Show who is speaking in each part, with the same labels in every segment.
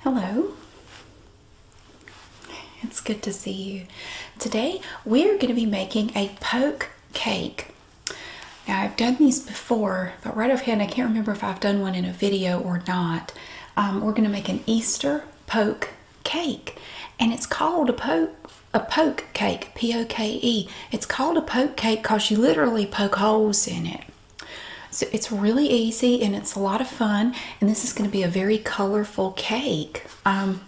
Speaker 1: Hello. It's good to see you. Today we're going to be making a poke cake. Now I've done these before, but right offhand I can't remember if I've done one in a video or not. Um, we're going to make an Easter poke cake, and it's called a poke a poke cake. P O K E. It's called a poke cake because you literally poke holes in it. So it's really easy and it's a lot of fun. And this is going to be a very colorful cake. Um,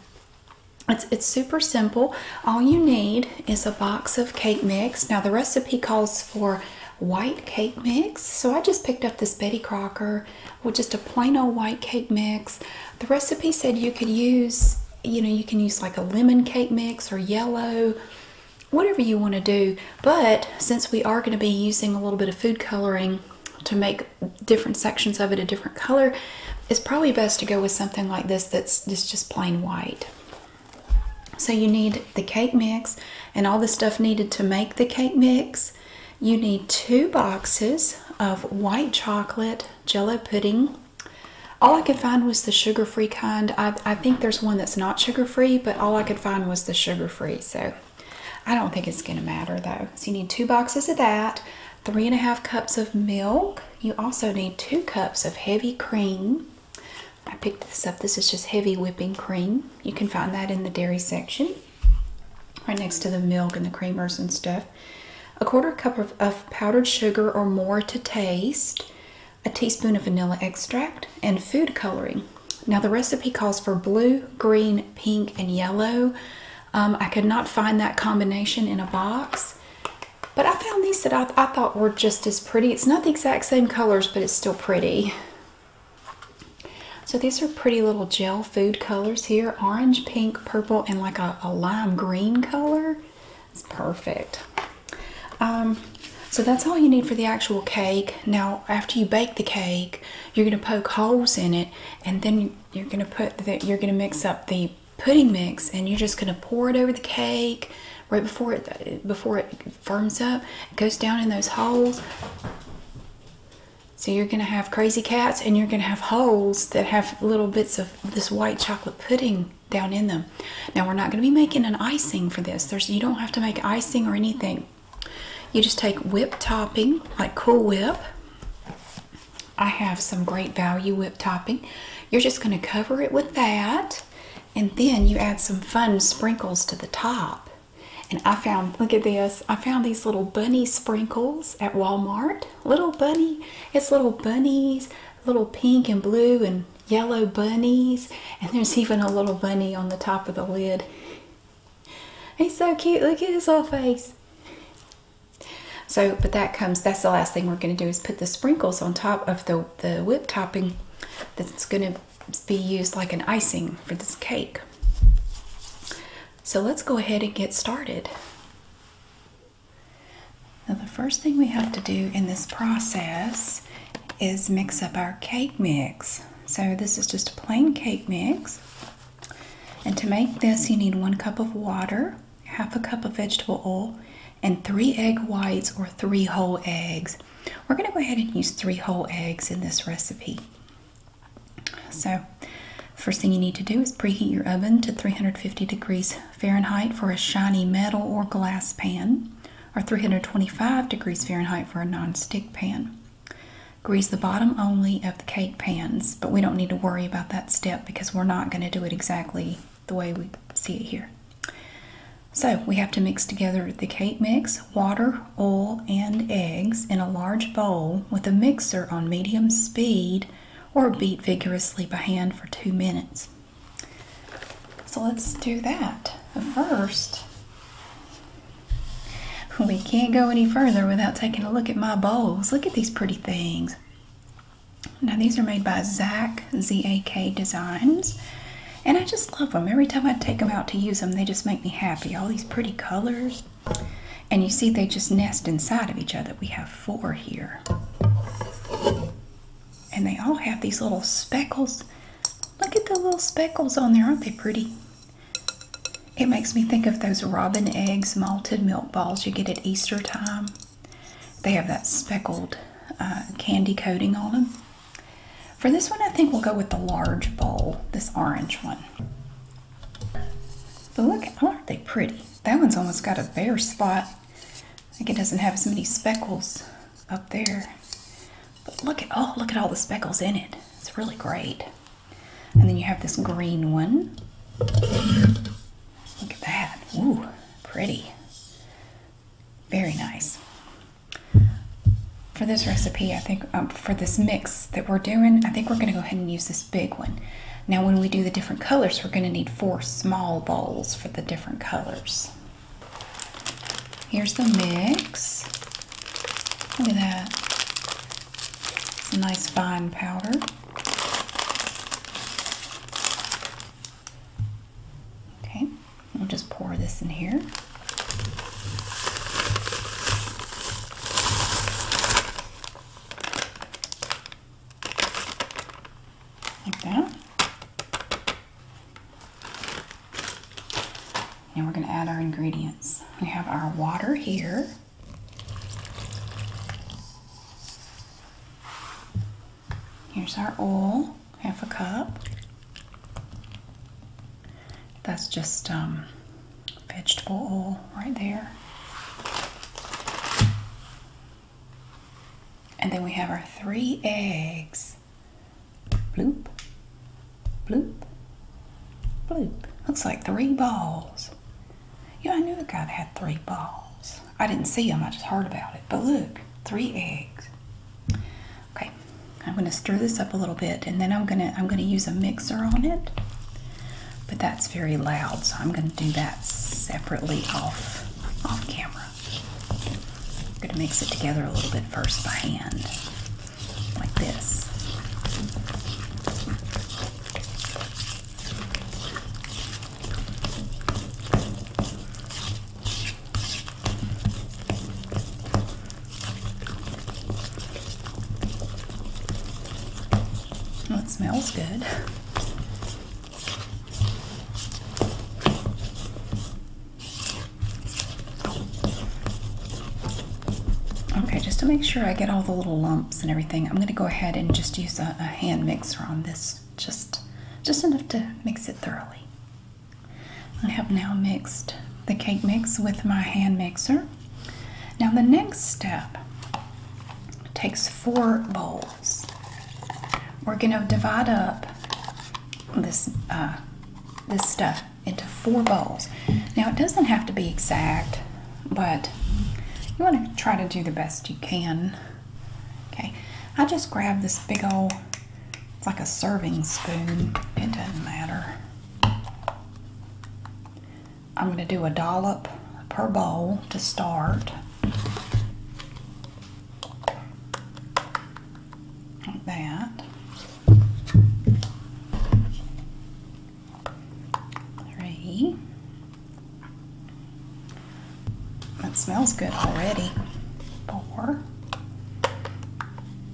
Speaker 1: it's, it's super simple. All you need is a box of cake mix. Now the recipe calls for white cake mix. So I just picked up this Betty Crocker with just a plain old white cake mix. The recipe said you could use, you know, you can use like a lemon cake mix or yellow whatever you want to do. But since we are going to be using a little bit of food coloring to make different sections of it a different color, it's probably best to go with something like this that's just, just plain white. So you need the cake mix and all the stuff needed to make the cake mix. You need two boxes of white chocolate jello pudding. All I could find was the sugar-free kind. I, I think there's one that's not sugar-free, but all I could find was the sugar-free. So I don't think it's going to matter though. So you need two boxes of that, three and a half cups of milk. You also need two cups of heavy cream. I picked this up. This is just heavy whipping cream. You can find that in the dairy section right next to the milk and the creamers and stuff. A quarter cup of, powdered sugar or more to taste, a teaspoon of vanilla extract, and food coloring. Now, the recipe calls for blue, green, pink, and yellow. Um, I could not find that combination in a box, but I found these that I, thought were just as pretty. It's not the exact same colors, but it's still pretty. So these are pretty little gel food colors here. Orange, pink, purple, and like a, lime green color. It's perfect. Um, so that's all you need for the actual cake. Now, after you bake the cake, you're gonna poke holes in it, and then you're gonna put that you're gonna mix up the pudding mix, and you're just gonna pour it over the cake right before it before it firms up. It goes down in those holes. So you're gonna have crazy cats, and you're gonna have holes that have little bits of this white chocolate pudding down in them. Now we're not gonna be making an icing for this. There's you don't have to make icing or anything you just take whipped topping, like Cool Whip. I have some great value whipped topping. You're just going to cover it with that, and then you add some fun sprinkles to the top. And I found, look at this, I found these little bunny sprinkles at Walmart. Little bunny, it's little bunnies, little pink and blue and yellow bunnies. And there's even a little bunny on the top of the lid. He's so cute. Look at his little face. So, but that comes, that's the last thing we're going to do is put the sprinkles on top of the, the whipped topping that's going to be used like an icing for this cake. So let's go ahead and get started. Now the first thing we have to do in this process is mix up our cake mix. So this is just a plain cake mix. And to make this, you need one cup of water, half a cup of vegetable oil, and three egg whites or three whole eggs. We're going to go ahead and use three whole eggs in this recipe. So, first thing you need to do is preheat your oven to 350 degrees Fahrenheit for a shiny metal or glass pan, or 325 degrees Fahrenheit for a non-stick pan. Grease the bottom only of the cake pans, but we don't need to worry about that step because we're not going to do it exactly the way we see it here. So we have to mix together the cake mix, water, oil, and eggs in a large bowl with a mixer on medium speed or beat vigorously by hand for two minutes. So let's do that. First, We can't go any further without taking a look at my bowls. Look at these pretty things. Now, these are made by Zach, Z A K Designs. And I just love them. Every time I take them out to use them, they just make me happy. All these pretty colors. And you see, they just nest inside of each other. We have four here. And they all have these little speckles Look at the little speckles on there. Aren't they pretty? It makes me think of those robin eggs malted milk balls you get at Easter time. They have that speckled uh, candy coating on them. For this one, I think we'll go with the large bowl, this orange one. But look, aren't they pretty? That one's almost got a bare spot. I think it doesn't have as many speckles up there. But look at, oh, look at all the speckles in it. It's really great. And then you have this green one. Look at that. Ooh, pretty. Very nice. For this recipe, I think, um, for this mix that we're doing, I think we're going to go ahead and use this big one. Now, when we do the different colors, we're going to need four small bowls for the different colors. Here's the mix. Look at that. It's a nice fine powder. Okay, we'll just pour this in here. Like that. And we're going to add our ingredients. We have our water here. Here's our oil, half a cup. That's just um, vegetable oil right there. And then we have our three eggs. Bloop, bloop, bloop. Looks like three balls. Yeah, I knew the guy that had three balls. I didn't see them, I just heard about it. But look, three eggs. Okay, I'm gonna stir this up a little bit and then I'm gonna I'm gonna use a mixer on it. But that's very loud, so I'm gonna do that separately off off camera. I'm gonna mix it together a little bit first by hand like this. Well, it smells good. Okay, just to make sure I get all the little lumps and everything, I'm gonna go ahead and just use a, hand mixer on this, just, just enough to mix it thoroughly. I have now mixed the cake mix with my hand mixer. Now the next step takes four bowls. We're gonna divide up this uh, this stuff into four bowls. Now it doesn't have to be exact, but you want to try to do the best you can. Okay, I just grab this big old, it's like a serving spoon. It doesn't matter. I'm going to do a dollop per bowl to start that. Three. That smells good already. Four.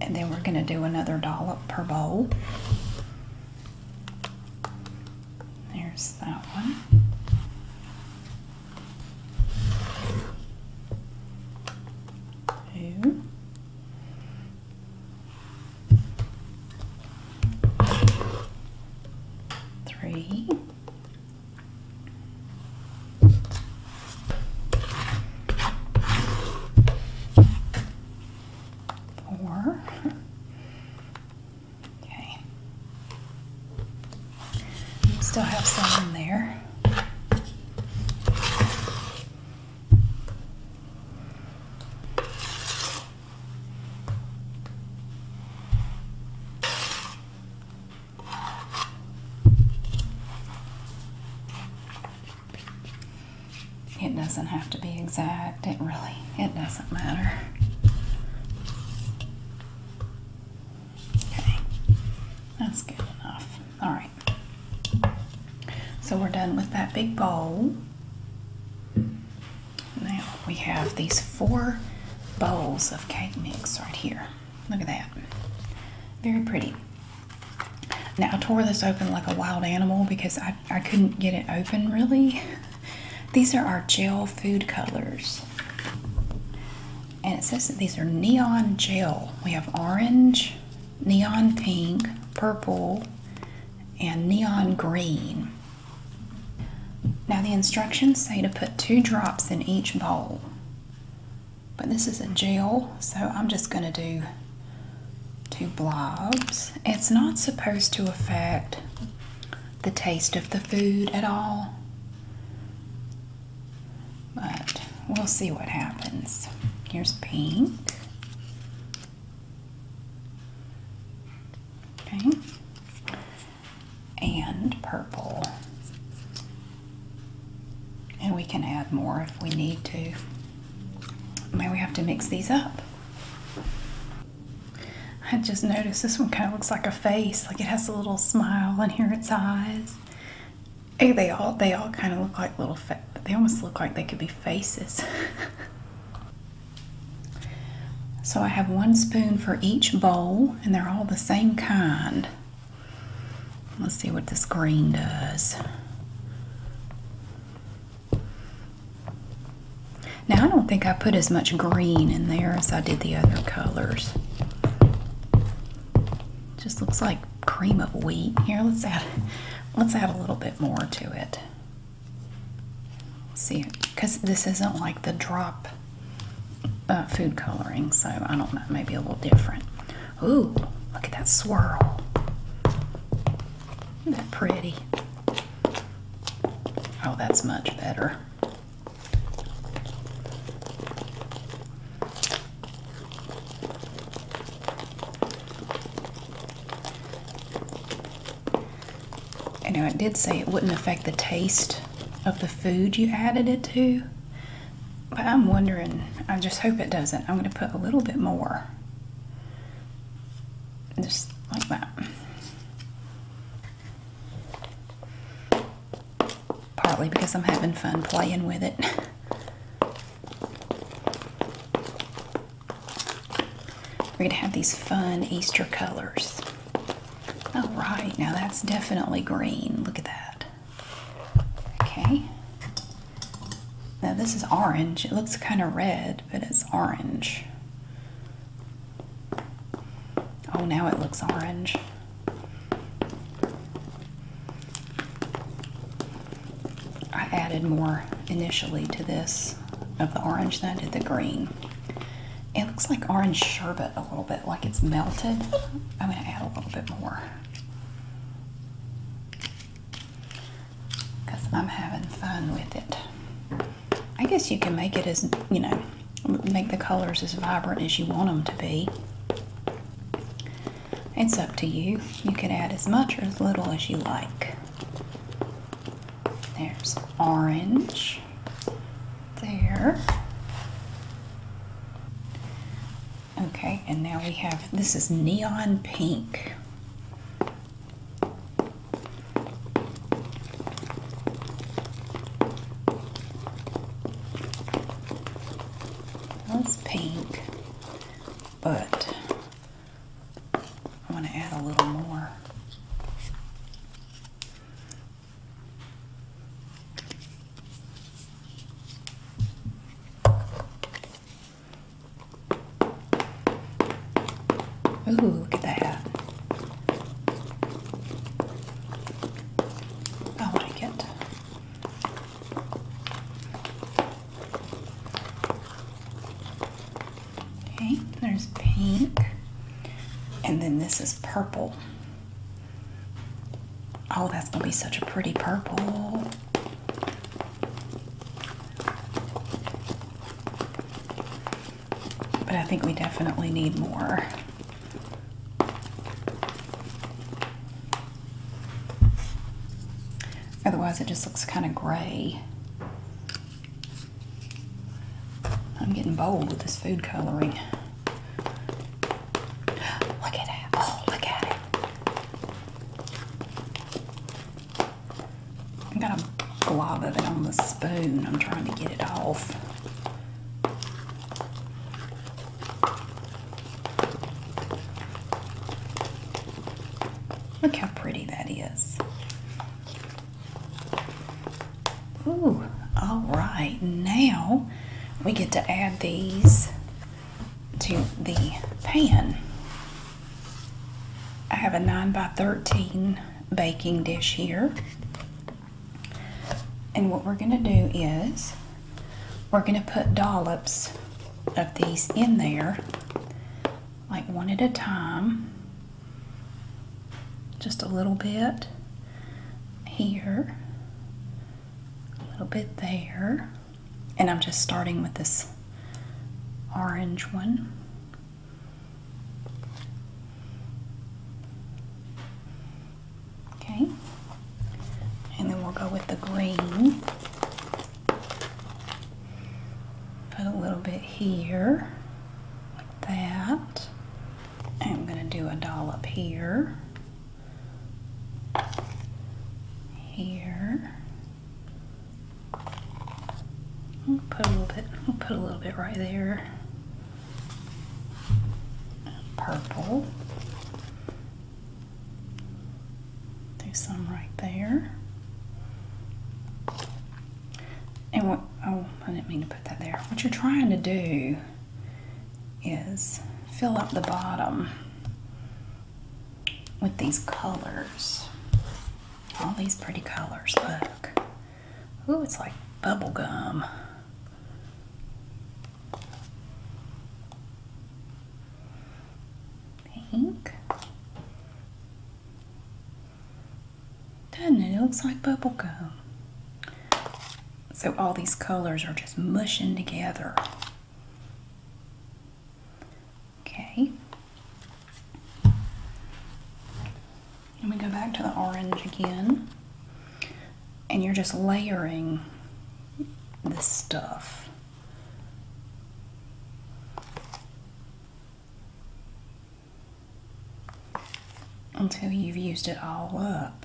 Speaker 1: And then we're going to do another dollop per bowl. There's that one. Two three, four. Okay. Still have some in there. It doesn't have to be exact. It really, it doesn't matter. Okay, that's good enough. All right. So we're done with that big bowl. Now we have these four bowls of cake mix right here. Look at that. Very pretty. Now I tore this open like a wild animal because I, I couldn't get it open really. These are our gel food colors. And it says that these are neon gel. We have orange, neon pink, purple, and neon green. Now the instructions say to put two drops in each bowl, but this is a gel, so I'm just gonna do two blobs. It's not supposed to affect the taste of the food at all. But we'll see what happens. Here's pink. Okay. And purple. And we can add more if we need to. Maybe we have to mix these up. I just noticed this one kind of looks like a face. Like it has a little smile and here its eyes. Hey, they all they all kind of look like little. They almost look like they could be faces. so I have one spoon for each bowl, and they're all the same kind. Let's see what this green does. Now, I don't think I put as much green in there as I did the other colors. Just looks like cream of wheat. Here, let's add let's add a little bit more to it. See, because this isn't like the drop uh, food coloring, so I don't know, maybe a little different. Ooh, look at that swirl. Isn't that pretty? Oh, that's much better. I know it did say it wouldn't affect the taste of the food you added it to. But I'm wondering, I just hope it doesn't. I'm going to put a little bit more. Just like that. Partly because I'm having fun playing with it. We're going to have these fun Easter colors. All right, now that's definitely green. Look at that. Okay. Now this is orange. It looks kind of red, but it's orange. Oh, now it looks orange. I added more initially to this of the orange than I did the green. It looks like orange sherbet a little bit, like it's melted. I'm going to add a little bit more. Because I'm having fun with it. I guess you can make it as, you know, make the colors as vibrant as you want them to be. It's up to you. You can add as much or as little as you like. There's orange there. Okay, and now we have this is neon pink. That's pink but i want to add a little more. Ooh, look at that hat. I like Okay, there's pink. And then this is purple. Oh, that's going to be such a pretty purple. But I think we definitely need more. Otherwise it just looks kind of gray. I'm getting bold with this food coloring. Look at it. Oh, look at it. i got a glob of it on the spoon. I'm trying to get it off. Look how pretty that is. Ooh, all right, now we get to add these to the pan. I have a 9 by 13 baking dish here. And what we're going to do is we're going to put dollops of these in there, like one at a time. Just a little bit here, a little bit there. And I'm just starting with this orange one. Okay. And then we'll go with the green. Put a little bit here, like that. I'm going to do a dollop here, here. put a little bit. We'll put a little bit right there. Purple. Do some right there. And what, oh, I didn't mean to put that there. What you're trying to do is fill up the bottom with these colors. All these pretty colors, look. Ooh, it's like bubble gum. Pink. Doesn't it? It looks like gum? So all these colors are just mushing together. Okay. And we go back to the orange again. And you're just layering this stuff until you've used it all up.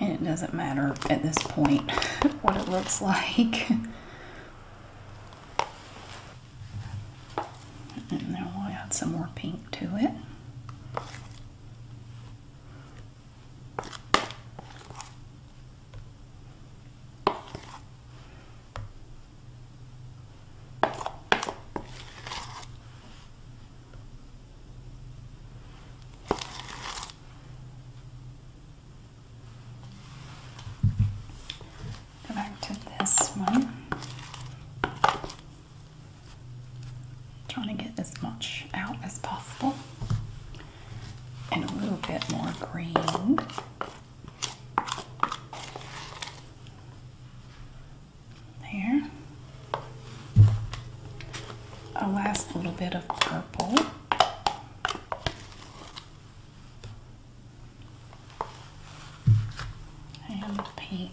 Speaker 1: And it doesn't matter at this point what it looks like. And then i will add some more pink to it. Go back to this one. Trying to get as much out as possible and a little bit more green. There. A last little bit of purple. And pink.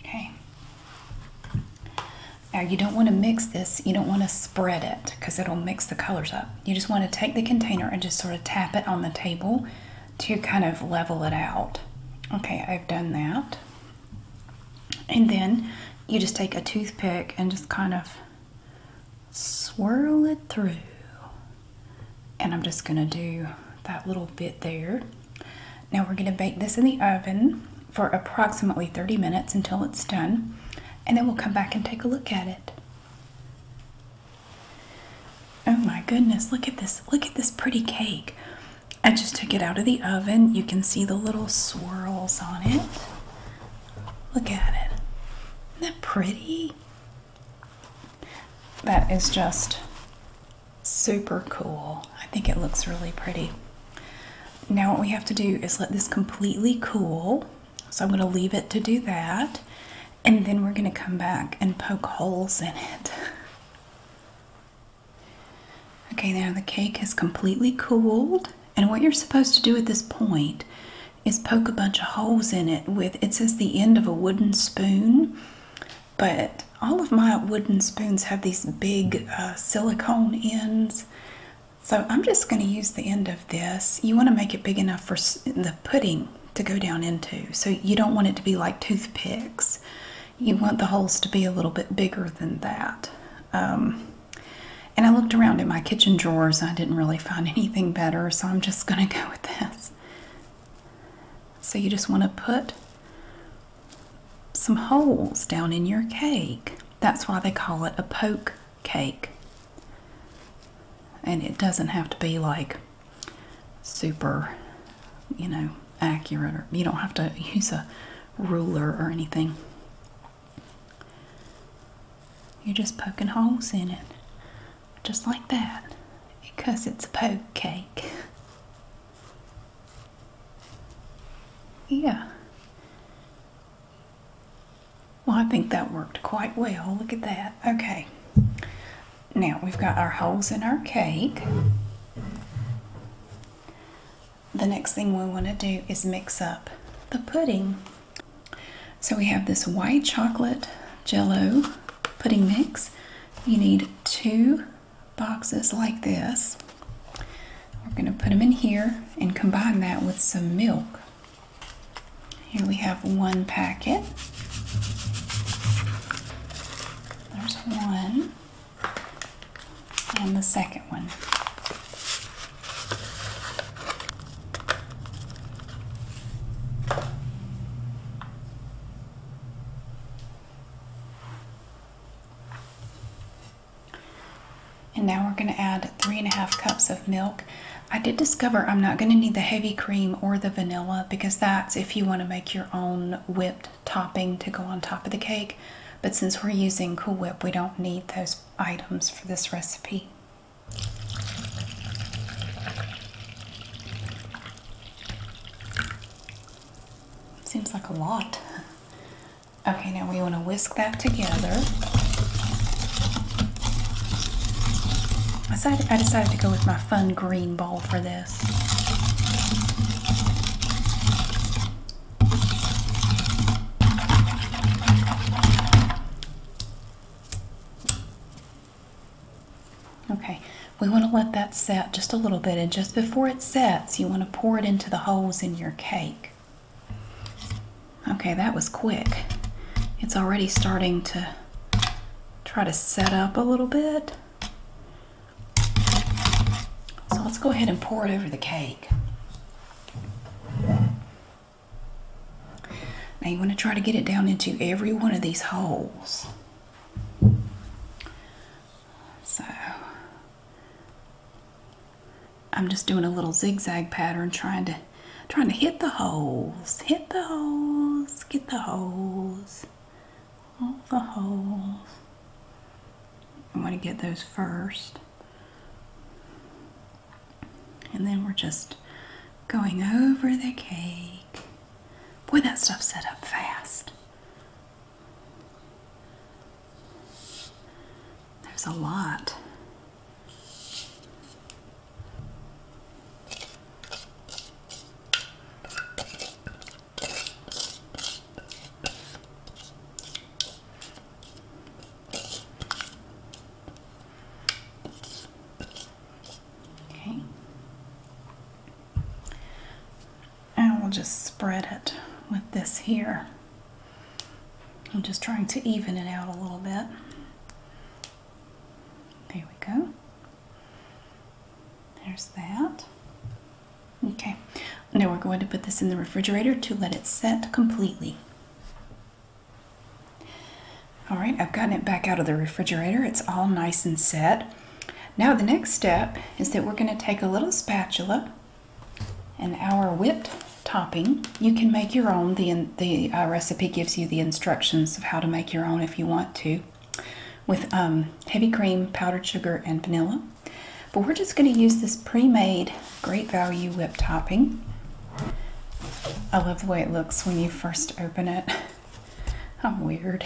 Speaker 1: Okay. Now you don't want to mix this, you don't want to spread it because it'll mix the colors up. You just want to take the container and just sort of tap it on the table to kind of level it out. Okay, I've done that. And then you just take a toothpick and just kind of swirl it through. And I'm just gonna do that little bit there. Now we're gonna bake this in the oven for approximately 30 minutes until it's done. And then we'll come back and take a look at it. Oh my goodness, look at this. Look at this pretty cake. I just took it out of the oven. You can see the little swirls on it. Look at it. Isn't that pretty? That is just super cool. I think it looks really pretty. Now what we have to do is let this completely cool so I'm going to leave it to do that and then we're going to come back and poke holes in it. Okay, now the cake has completely cooled and what you're supposed to do at this point is poke a bunch of holes in it with, it says the end of a wooden spoon, but all of my wooden spoons have these big uh, silicone ends. So I'm just going to use the end of this. You want to make it big enough for the pudding to go down into. So you don't want it to be like toothpicks. You want the holes to be a little bit bigger than that. Um, and I looked around in my kitchen drawers. I didn't really find anything better, so I'm just going to go with this. So you just want to put some holes down in your cake. That's why they call it a poke cake and it doesn't have to be like super you know accurate or you don't have to use a ruler or anything you're just poking holes in it just like that because it's a poke cake yeah well, I think that worked quite well. Look at that. Okay. Now we've got our holes in our cake. The next thing we want to do is mix up the pudding. So we have this white chocolate jello pudding mix. You need two boxes like this. We're going to put them in here and combine that with some milk. Here we have one packet. There's one and the second one. And now we're going to add three and a half cups of milk. I did discover I'm not going to need the heavy cream or the vanilla because that's if you want to make your own whipped topping to go on top of the cake. But since we're using Cool Whip, we don't need those items for this recipe. Seems like a lot. Okay, now we want to whisk that together. I decided, to go with my fun green ball for this. Okay, we want to let that set just a little bit, and just before it sets, you want to pour it into the holes in your cake. Okay, that was quick. It's already starting to try to set up a little bit. So let's go ahead and pour it over the cake. Now you want to try to get it down into every one of these holes. So I'm just doing a little zigzag pattern trying to trying to hit the holes, hit the holes, get the holes, all the holes. i want to get those first. And then we're just going over the cake. Boy, that stuff set up fast. There's a lot. Okay. And we'll just spread it with this here. I'm just trying to even it out a little bit. There we go. There's that. Okay, now we're going to put this in the refrigerator to let it set completely. All right, I've gotten it back out of the refrigerator. It's all nice and set. Now the next step is that we're gonna take a little spatula and our whipped topping you can make your own. The, the uh, recipe gives you the instructions of how to make your own if you want to with um, heavy cream, powdered sugar, and vanilla. But we're just going to use this pre-made Great Value whipped topping. I love the way it looks when you first open it. I'm weird.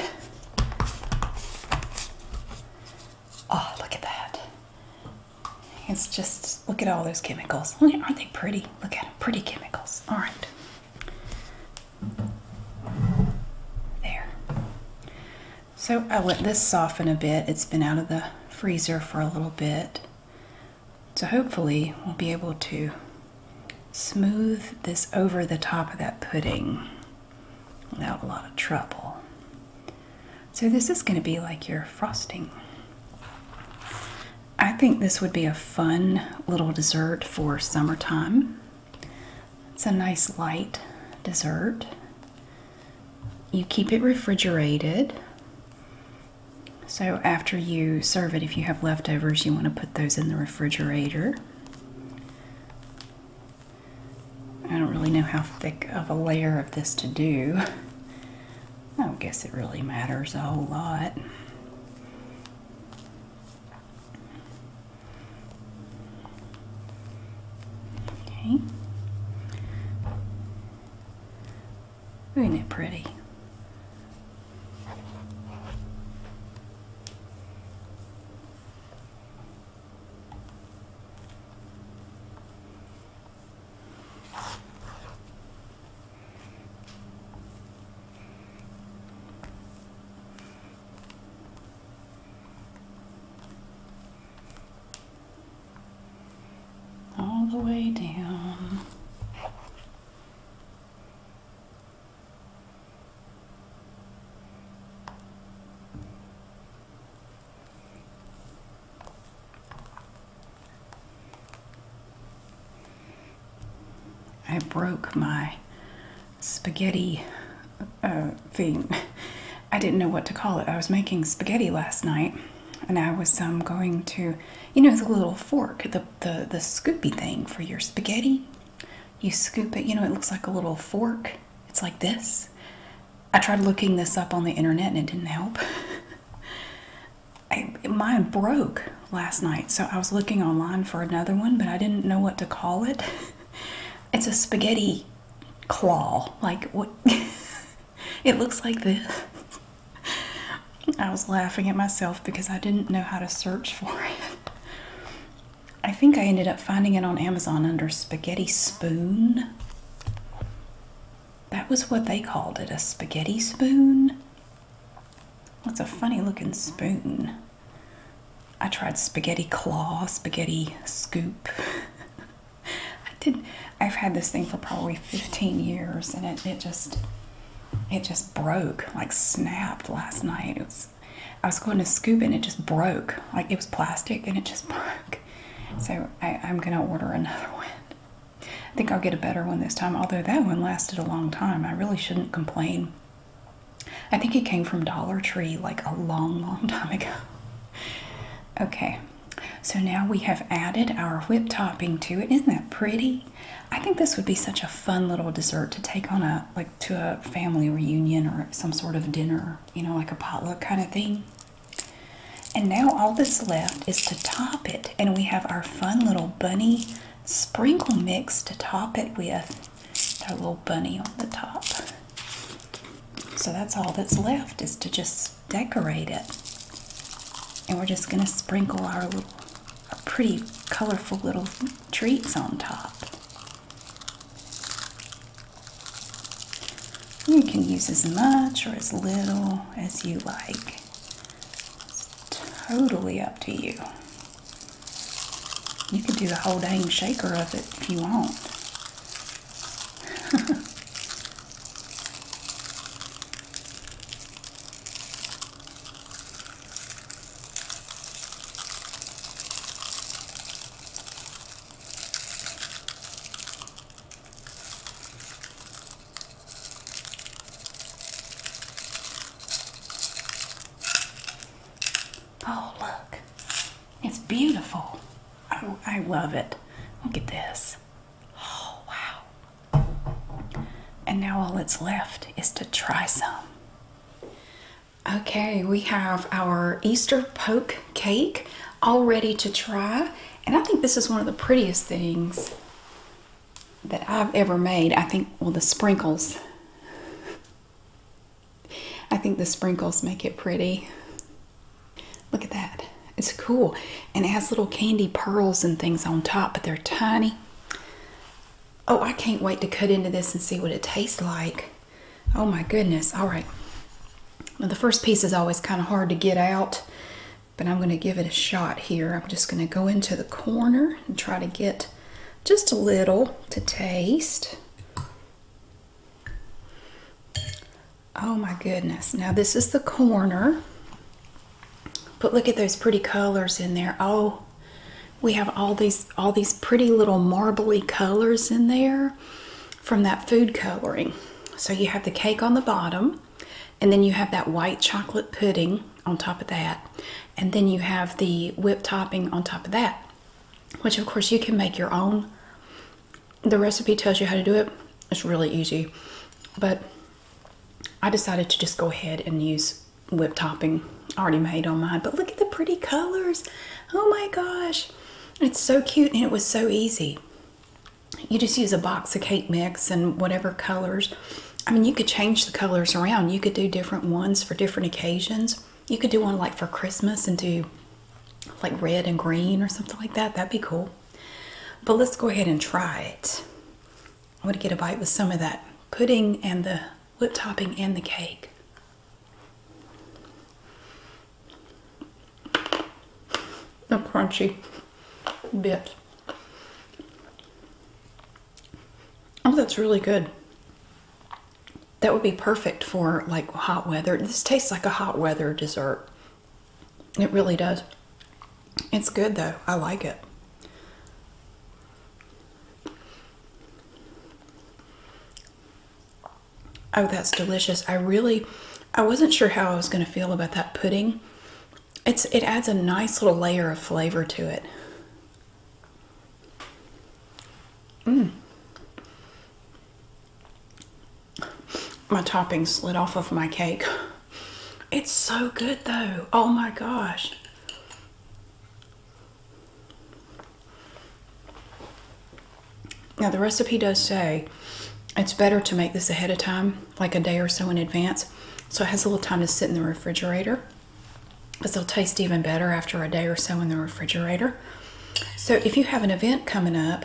Speaker 1: Oh, look at that. It's just Look at all those chemicals. Aren't they pretty? Look at them. Pretty chemicals. All right. There. So I let this soften a bit. It's been out of the freezer for a little bit. So hopefully we'll be able to smooth this over the top of that pudding without a lot of trouble. So this is going to be like your frosting. I think this would be a fun little dessert for summertime. It's a nice light dessert. You keep it refrigerated. So, after you serve it, if you have leftovers, you want to put those in the refrigerator. I don't really know how thick of a layer of this to do. I don't guess it really matters a whole lot. Okay. Isn't it pretty? all the way down. I broke my spaghetti uh, thing. I didn't know what to call it. I was making spaghetti last night and I was um, going to, you know, the little fork, the, the, the scoopy thing for your spaghetti. You scoop it, you know, it looks like a little fork. It's like this. I tried looking this up on the internet and it didn't help. I, mine broke last night, so I was looking online for another one, but I didn't know what to call it. It's a spaghetti claw. Like, what? it looks like this. I was laughing at myself because I didn't know how to search for it. I think I ended up finding it on Amazon under spaghetti spoon. That was what they called it a spaghetti spoon. What's a funny looking spoon. I tried spaghetti claw, spaghetti scoop. I did I've had this thing for probably 15 years and it, it just it just broke, like snapped last night. It was I was going to scoop and it just broke. Like it was plastic and it just broke. So I'm gonna order another one. I think I'll get a better one this time, although that one lasted a long time. I really shouldn't complain. I think it came from Dollar Tree like a long, long time ago. Okay, so now we have added our whip topping to it. Isn't that pretty? I think this would be such a fun little dessert to take on a like to a family reunion or some sort of dinner, you know, like a potluck kind of thing. And now all that's left is to top it. And we have our fun little bunny sprinkle mix to top it with a little bunny on the top. So that's all that's left is to just decorate it. And we're just going to sprinkle our little pretty colorful little treats on top. You can use as much or as little as you like. It's totally up to you. You can do the whole dang shaker of it if you want. Oh, look. It's beautiful. Oh, I love it. Look at this. Oh, wow. And now all that's left is to try some. Okay, we have our Easter poke cake all ready to try. And I think this is one of the prettiest things that I've ever made, I think, well, the sprinkles. I think the sprinkles make it pretty. Look at that. It's cool. And it has little candy pearls and things on top, but they're tiny. Oh, I can't wait to cut into this and see what it tastes like. Oh my goodness. All right. the first piece is always kind of hard to get out but I'm going to give it a shot here. I'm just going to go into the corner and try to get just a little to taste. Oh my goodness. Now this is the corner, but look at those pretty colors in there. Oh, we have all these, all these pretty little marbly colors in there from that food coloring. So you have the cake on the bottom and then you have that white chocolate pudding on top of that, and then you have the whipped topping on top of that, which of course you can make your own. The recipe tells you how to do it, it's really easy, but I decided to just go ahead and use whipped topping already made on mine. But look at the pretty colors! Oh my gosh, it's so cute, and it was so easy. You just use a box of cake mix and whatever colors I mean, you could change the colors around. You could do different ones for different occasions. You could do one like for Christmas and do like red and green or something like that. That'd be cool. But let's go ahead and try it. I'm going to get a bite with some of that pudding and the whip topping and the cake. A crunchy bit. Oh, that's really good. That would be perfect for like hot weather. This tastes like a hot weather dessert. It really does. It's good though. I like it. Oh, that's delicious. I really, I wasn't sure how I was going to feel about that pudding it's it adds a nice little layer of flavor to it. Mm. My topping slid off of my cake. It's so good though. Oh my gosh. Now the recipe does say it's better to make this ahead of time, like a day or so in advance so it has a little time to sit in the refrigerator but they'll taste even better after a day or so in the refrigerator so if you have an event coming up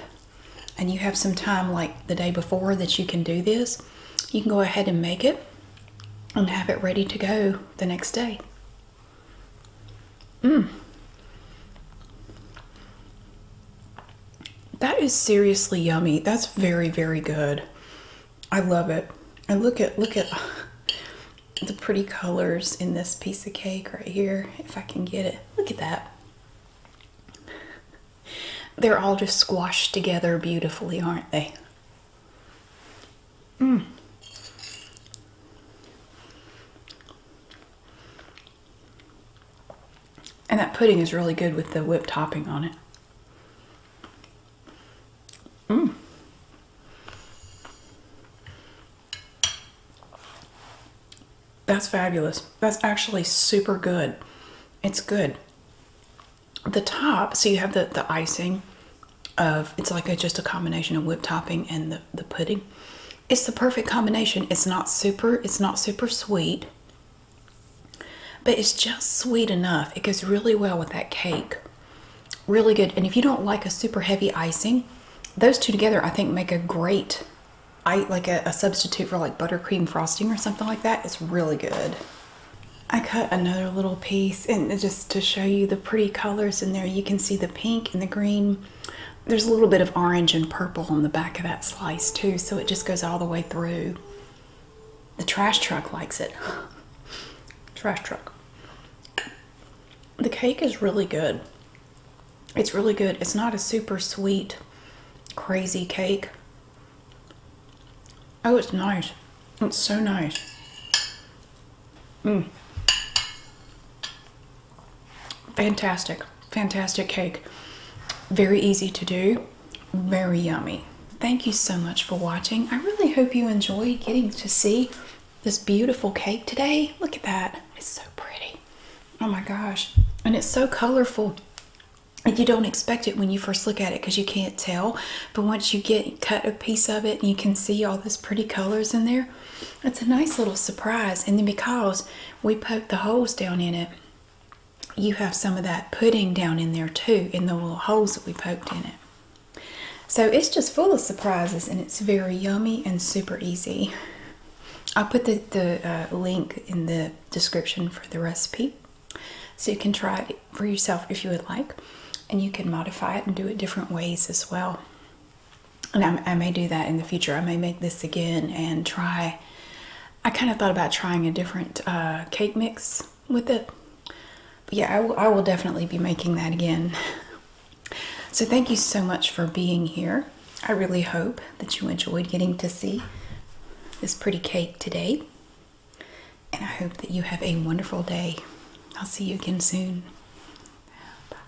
Speaker 1: and you have some time like the day before that you can do this you can go ahead and make it and have it ready to go the next day mm. that is seriously yummy that's very very good I love it. I look at look at uh, the pretty colors in this piece of cake right here. If I can get it. Look at that. They're all just squashed together beautifully, aren't they? Mm. And that pudding is really good with the whipped topping on it. Mm. That's fabulous. That's actually super good. It's good. The top, so you have the, the icing of, it's like a, just a combination of whipped topping and the, the pudding. It's the perfect combination. It's not super, it's not super sweet. But it's just sweet enough. It goes really well with that cake. Really good. And if you don't like a super heavy icing, those two together I think make a great I like a, a substitute for like buttercream frosting or something like that. It's really good. I cut another little piece and just to show you the pretty colors in there you can see the pink and the green there's a little bit of orange and purple on the back of that slice too so it just goes all the way through the trash truck likes it. trash truck. The cake is really good. It's really good. It's not a super sweet, crazy cake. Oh, it's nice. It's so nice. Mm. Fantastic. Fantastic cake. Very easy to do. Very yummy. Thank you so much for watching. I really hope you enjoyed getting to see this beautiful cake today. Look at that. It's so pretty. Oh my gosh. And it's so colorful. And you don't expect it when you first look at it because you can't tell. But once you get cut a piece of it and you can see all those pretty colors in there, it's a nice little surprise. And then because we poke the holes down in it, you have some of that pudding down in there too, in the little holes that we poked in it. So it's just full of surprises and it's very yummy and super easy. I'll put the, uh, link in the description for the recipe so you can try it for yourself if you would like and you can modify it and do it different ways as well. And I, may do that in the future. I may make this again and try. I kind of thought about trying a different uh, cake mix with it. Yeah, I, will definitely be making that again. So thank you so much for being here. I really hope that you enjoyed getting to see this pretty cake today. And I hope that you have a wonderful day. I'll see you again soon. -bye.